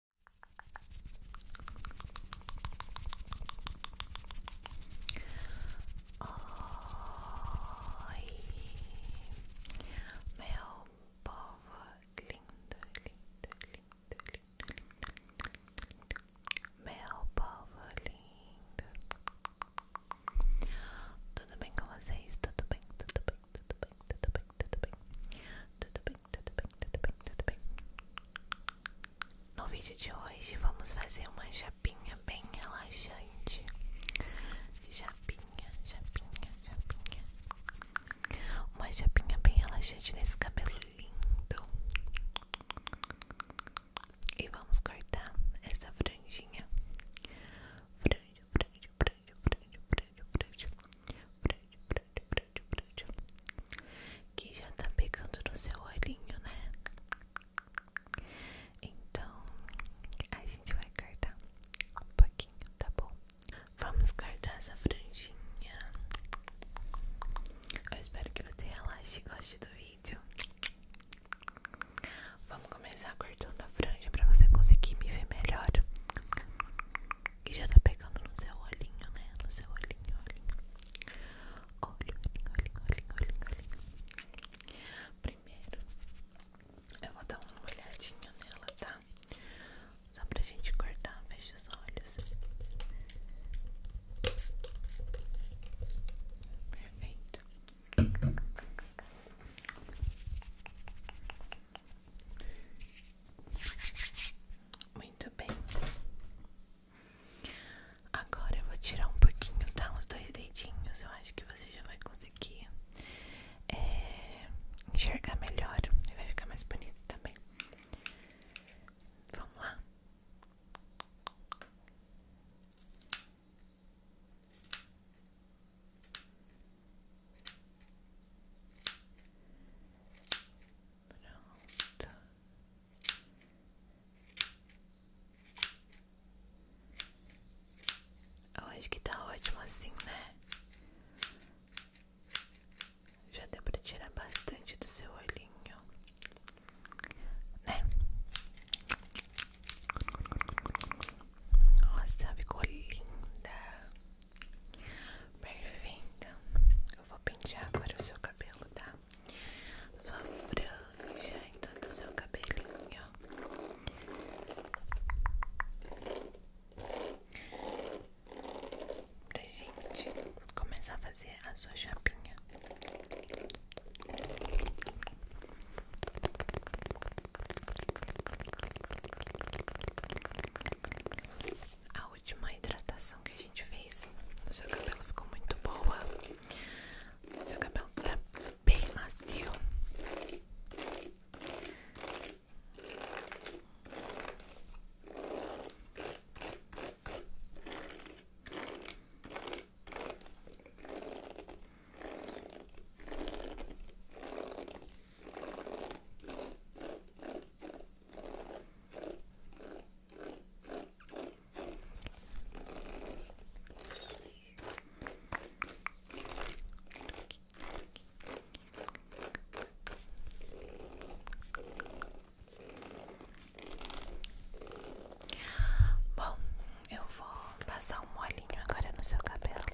meu povo lindo, lindo, lindo, lindo, lindo, lindo, meu povo lindo. Tudo bem com vocês? Tudo bem, tudo bem, tudo bem, tudo bem, tudo bem, tudo bem, tudo bem, tudo bem, tudo bem. No vídeo de hoje vamos fazer uma chapinha bem relaxante. Japinha, chapinha, chapinha, Uma chapinha bem relaxante nesse cabelo lindo. E vamos cortar essa franjinha. Franja, franja, franja, franja, franja que já tá pegando no seu olhinho, né? Então, a gente vai cortar um pouquinho, tá bom? Vamos cortar essa franjinha. Eu espero que você relaxe e goste do vídeo. Vamos começar cortando a franja para você conseguir me ver melhor. E já tá pegando no seu olhinho, né? No seu olhinho, olhinho. Olho, olhinho, olhinho, olhinho, olhinho. Primeiro, eu vou dar uma olhadinha nela, tá? Só pra gente cortar, fecha os olhos. Perfeito. Muito bem. Agora eu vou tirar um pouquinho, tá? Uns dois dedinhos. Eu acho que você já vai conseguir é, enxergar melhor. E vai ficar mais bonito também. Vamos lá. Pronto. Eu acho que tá ótimo assim, né? Já deu pra tirar bastante do seu olhinho, né? Nossa, ficou linda. Bem-vinda. Eu vou pentear agora o seu cabelo, tá? Sua franja em todo o seu cabelinho. Pra gente começar a fazer a sua chapinha. A última hidratação que a gente fez seu cabelo ficou muito boa. seu cabelo tá bem macio. Bom, eu vou passar um molinho agora no seu cabelo.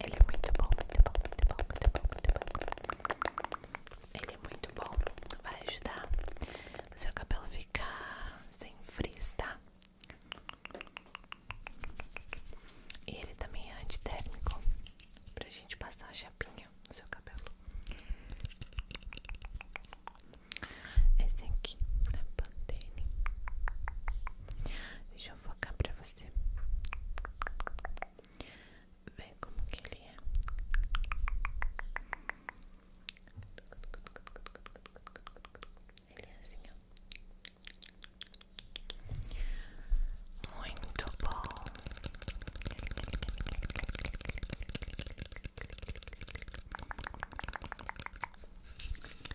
Ele é muito bom, muito bom, muito bom, muito bom, muito bom. Ele é muito bom, vai ajudar o seu cabelo ficar sem frizz, tá? E ele também é antitérmico pra gente passar a chapinha no seu cabelo. Esse aqui da Pantene vou eu focar pra você vem como que ele é Ele é assim, ó Muito bom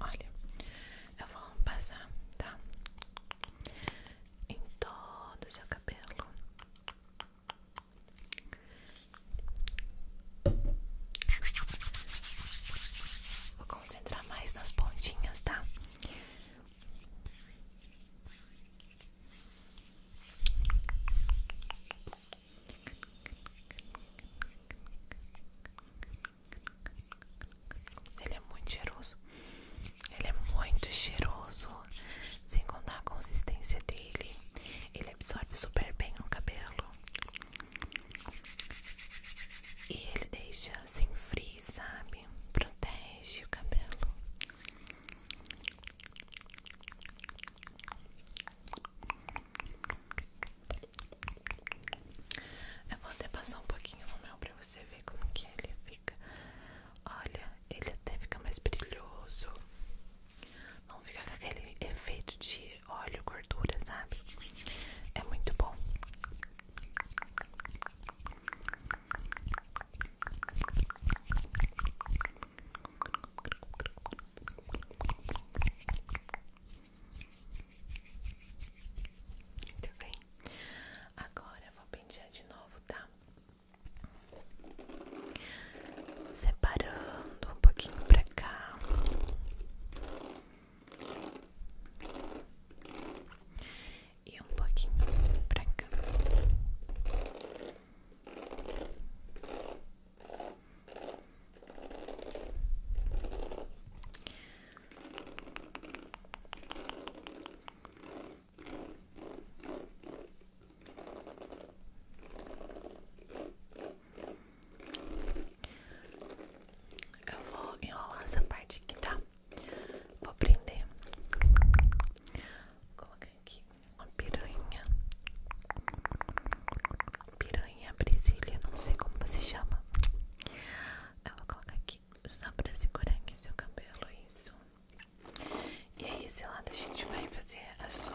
Olha, eu vou passar, tá? Em todo o seu cabelo Vou concentrar mais nas pontinhas, tá? Ele é muito cheiroso. Ele é muito cheiroso. Sem contar a consistência dele. Ele absorve super bem no cabelo. E ele deixa sem assim frio, sabe? Protege o cabelo. Eu vou até passar um pouquinho no meu pra você ver como que ele fica. Olha, ele até fica mais brilhoso. Não fica com aquele efeito de de óleo, gordura, sabe? É muito bom. Muito bem. Agora vou pentear de novo, tá? Separando um pouquinho pra cá. E um pouquinho pra cá. Eu vou enrolar essa parte aqui, tá? Vou prender. Vou colocar aqui uma piranha. Piranha Brasília, não sei como você chama. Eu vou colocar aqui só pra segurar aqui seu cabelo, isso. E aí, é esse lado a gente vai fazer a sua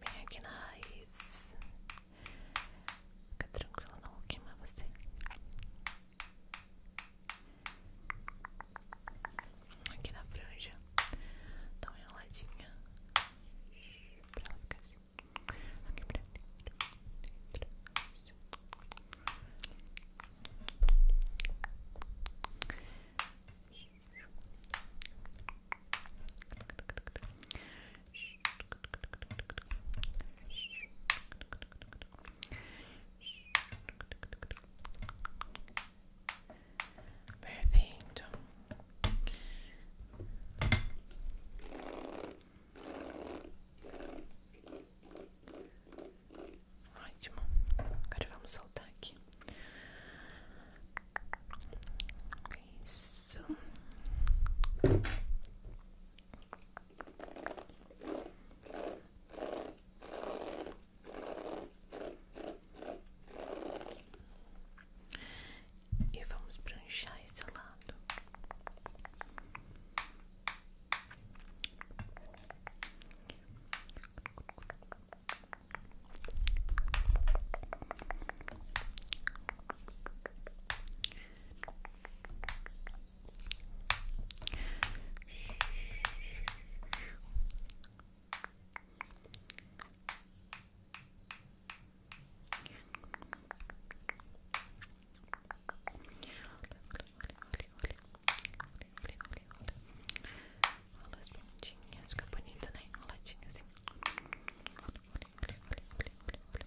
Vem aqui na raiz. Fica tranquilo, não vou queimar você. Aqui na franja Dá uma enroladinha Pra ela ficar assim Aqui pra dentro, dentro assim. Perfeito. Ótimo. Agora vamos soltar aqui. Isso. E vamos pranchar esse lado. Olha as pontinhas, fica bonito, né? Enroladinho assim. Olha, olha, olha, olha, olha, olha,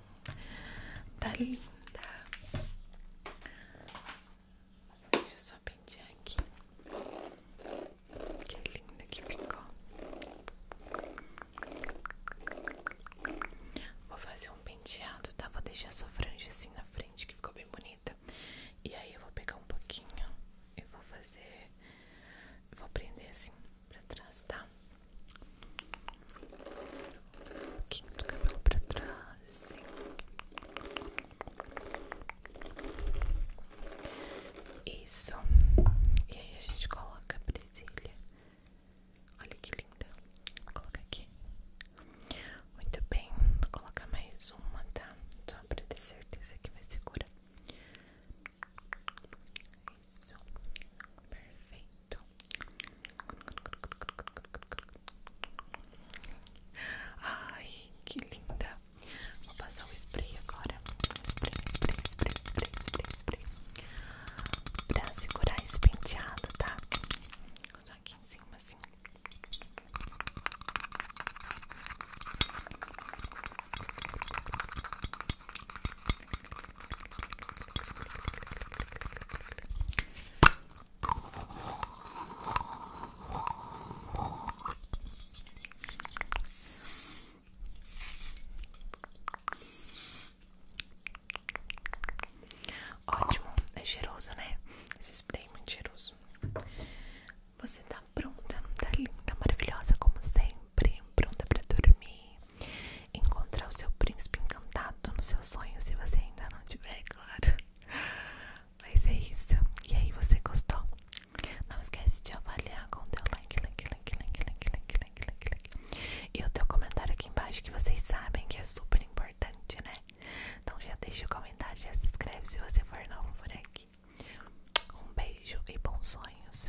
Tá linda. Deixa eu só pentear aqui. Que linda que ficou. Vou fazer um penteado, tá? Vou deixar sua franja assim na frente, que ficou bem bonita. E aí eu vou pegar um pouquinho e vou fazer. Vou prender assim pra trás, tá? um pouquinho do cabelo pra trás Isso E aí a gente coloca a presilha Olha que linda Vou colocar aqui Muito bem Vou colocar mais uma, tá? Só pra ter certeza que vai segura Isso Perfeito Ai, que linda. Vou passar o spray agora. Spray, spray, spray, spray, spray, spray. Pra segurar esse penteado, tá? Vou usar aqui em cima assim. Ótimo, é cheiroso, né? Esse spray é muito cheiroso. Você tá pronta, tá linda, tá maravilhosa como sempre, pronta pra dormir encontrar o seu príncipe encantado nos seus sonhos, se você ainda não tiver, claro. Mas é isso. E aí, você gostou? Não esquece de avaliar com o teu like, like, like, like, like, like, like, like, like. E o teu comentário aqui embaixo, que vocês sabem que é super importante, né? Então já deixa o comentário, já se inscreve se você for novo por aqui. Um beijo e bons sonhos.